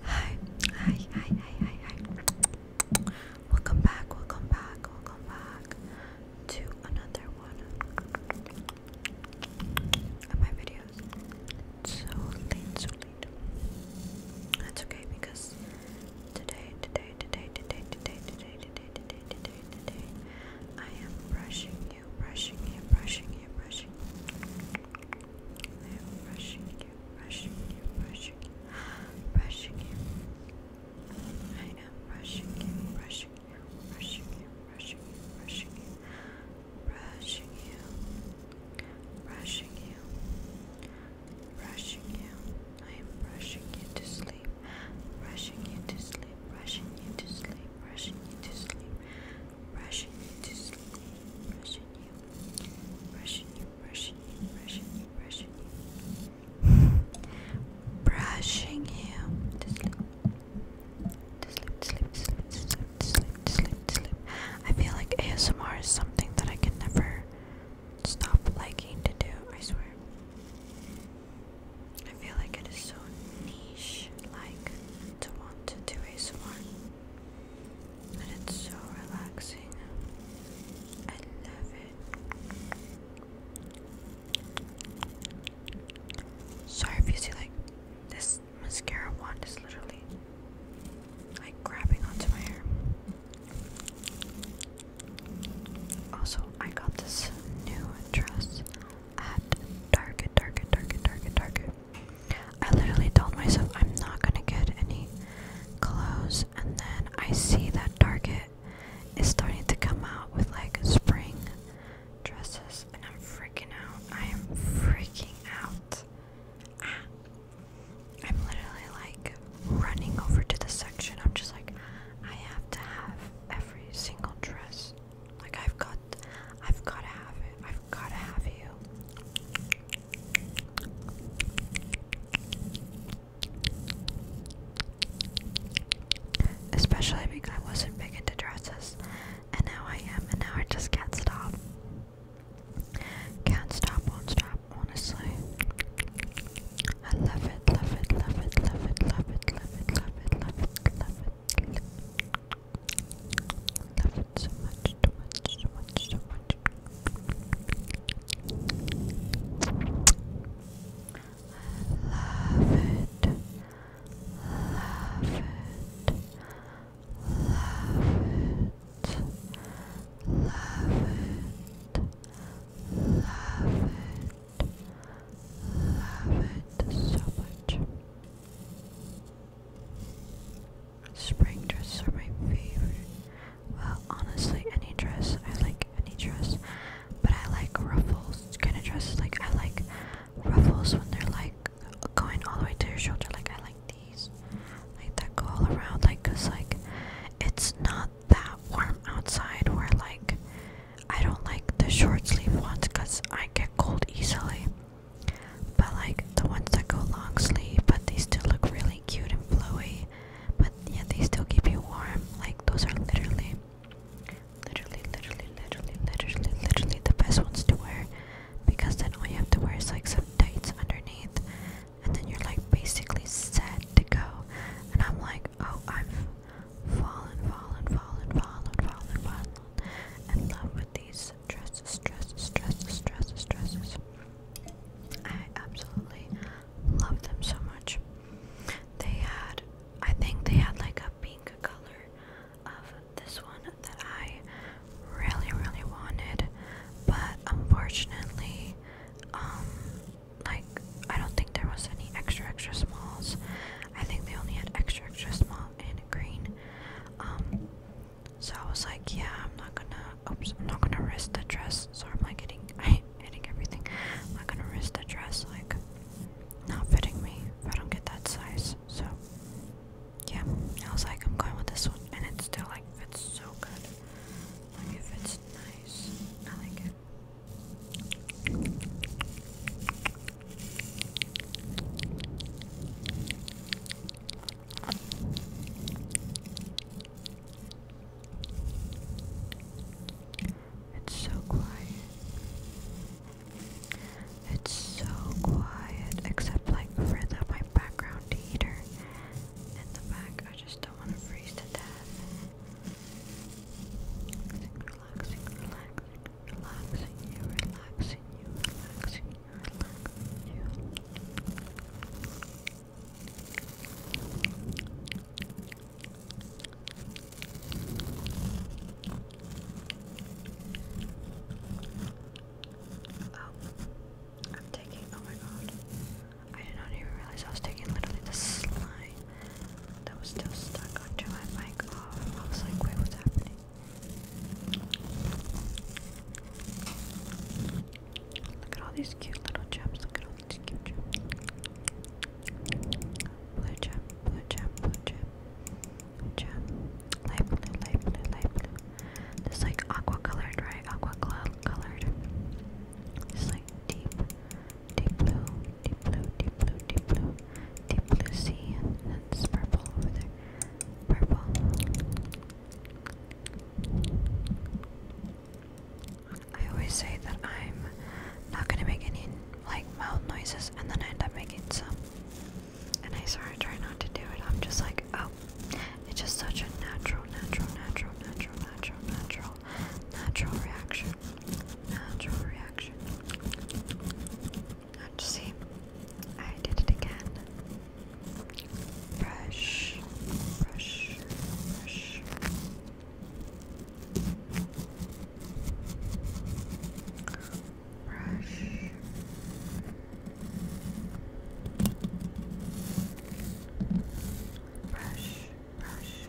Hi, hi, hi, hi, hi, hi. Welcome back, welcome back, welcome back to another one of my videos. so late, so late. That's okay because today, today, today, today, today, today, today, today, today, today, I am brushing you, brushing you, brushing you, brushing I am brushing you, brushing you, brushing you, brushing you. I am brushing you, brushing you, brushing you, brushing you, brushing you, brushing you, brushing you, brushing you. I am brushing you to sleep, brushing you to sleep, brushing you to sleep, brushing you to sleep, brushing you to sleep, brushing brushing you, brushing you, brushing you, brushing you, brushing you, brushing you sleep, sleep, sleep, sleep, sleep, sleep, sleep, sleep. I feel like ASMR is something that I can never stop liking to do. I swear. I feel like it is so niche, like to want to do ASMR and it's so relaxing. I love it. Sorry if you see like this mascara wand is literally like grabbing onto my hair. Also, I got this new dress at Target, Target, Target, Target, Target. I literally told myself I'm not gonna get any clothes, and then I see that Target is starting to come out with like spring dresses, and I'm freaking out. I am freaking out. Ah. I'm literally like running over to the section. I'm just like, I have to have every single dress. Like I've got I've gotta have it. I've gotta have you. Especially because I wasn't big into dresses and now I am and now I just can't stop. Can't stop, won't stop, honestly. I love it, love it, love it, love it, love it, love it, love it, love it, love it love it so much, so much, so much, so much. love it, love it, love it. Love it, love it, love it so much. Spring dresses are my favorite. Well, honestly, any dress. I like any dress. But I like ruffles kind of dresses. Like, I like ruffles when they're like going all the way to your shoulder. Like, I like these. Like, that go all around. Like, cause like, it's not that warm outside where like, I don't like the short sleeve ones because I get cold easily. But like the ones that go long sleeve, but they still look really cute and flowy. But yeah, they still keep you warm. Like those are literally, literally, literally, literally, literally, literally the best ones to wear. Because then all you have to wear is like some tights underneath, and then you're like basically set to go. And I'm like, oh, I've fallen, fallen, fallen, fallen, fallen, fallen in love these dresses, dresses, dresses, dresses, dresses. I absolutely love them so much. They had, I think they had like a pink color of this one that I really, really wanted, but unfortunately, um, like I don't think there was any extra, extra smalls. I think they only had extra, extra small and green. Um, so I was like, yeah, I'm not gonna. Oops, I'm not gonna risk the dress. Sorry, I'm like getting, I hitting everything. I'm not gonna risk the dress like not fitting me if I don't get that size. So yeah, I was like, I'm going with this one, and it still like fits so good. Like it fits nice. I like it. It's so quiet. It's so quiet, except like for the my background heater in the back. I just don't want to freeze to death. relaxing, relaxing, relaxing you, relaxing you, relaxing you, relaxing you. Oh, I'm taking, oh my god. I did not even realize I was taking literally the slime that was still stuck onto my mic oh, I was like, wait, what's happening? Look at all these cute little gems. Look at all these cute gems. Blue gem, blue gem, blue gem, gem. Light blue, light blue, light blue. This like aqua colored, right? Aqua colored. It's like deep deep blue, deep blue, deep blue, deep blue, deep blue sea, and that's purple over there. Purple. I always say that I'm not gonna make any like mouth noises, and then I end up making some. And I sort of try not to do it. I'm just like, oh, it's just such a natural, natural, natural, natural, natural, natural, natural reaction. Natural reaction. Let's see. I did it again. Brush, brush, brush. Brush. Brush, brush,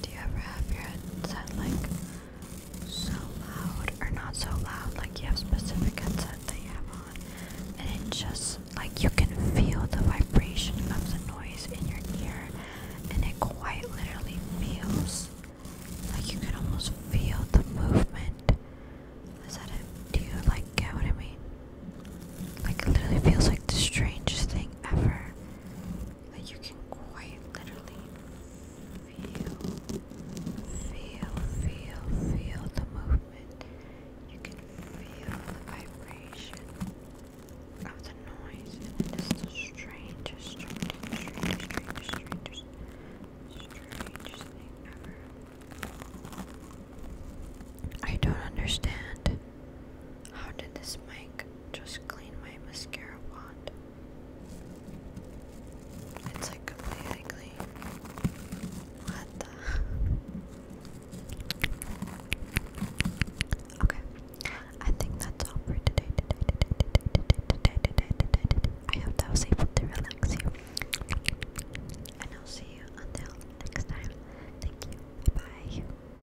Do you ever have your headset like so loud or not so loud? Like you have specific headset that you have on, and it just like you can feel the vibration of the noise in your ear, and it quite literally feels like you can almost feel the movement. Is that it? Do you like get what I mean? Like it literally feels like the strangest thing ever that you can quite literally feel, feel, feel, feel the movement. You can feel the vibration of the noise, it is the strangest, strangest, strangest, strangest, strangest thing ever. I don't understand. How did this mic just clean my mascara wand. It's like completely clean. What Okay. I think that's all for today. I hope that was able to relax you. And I'll see you until next time. Thank you. Bye.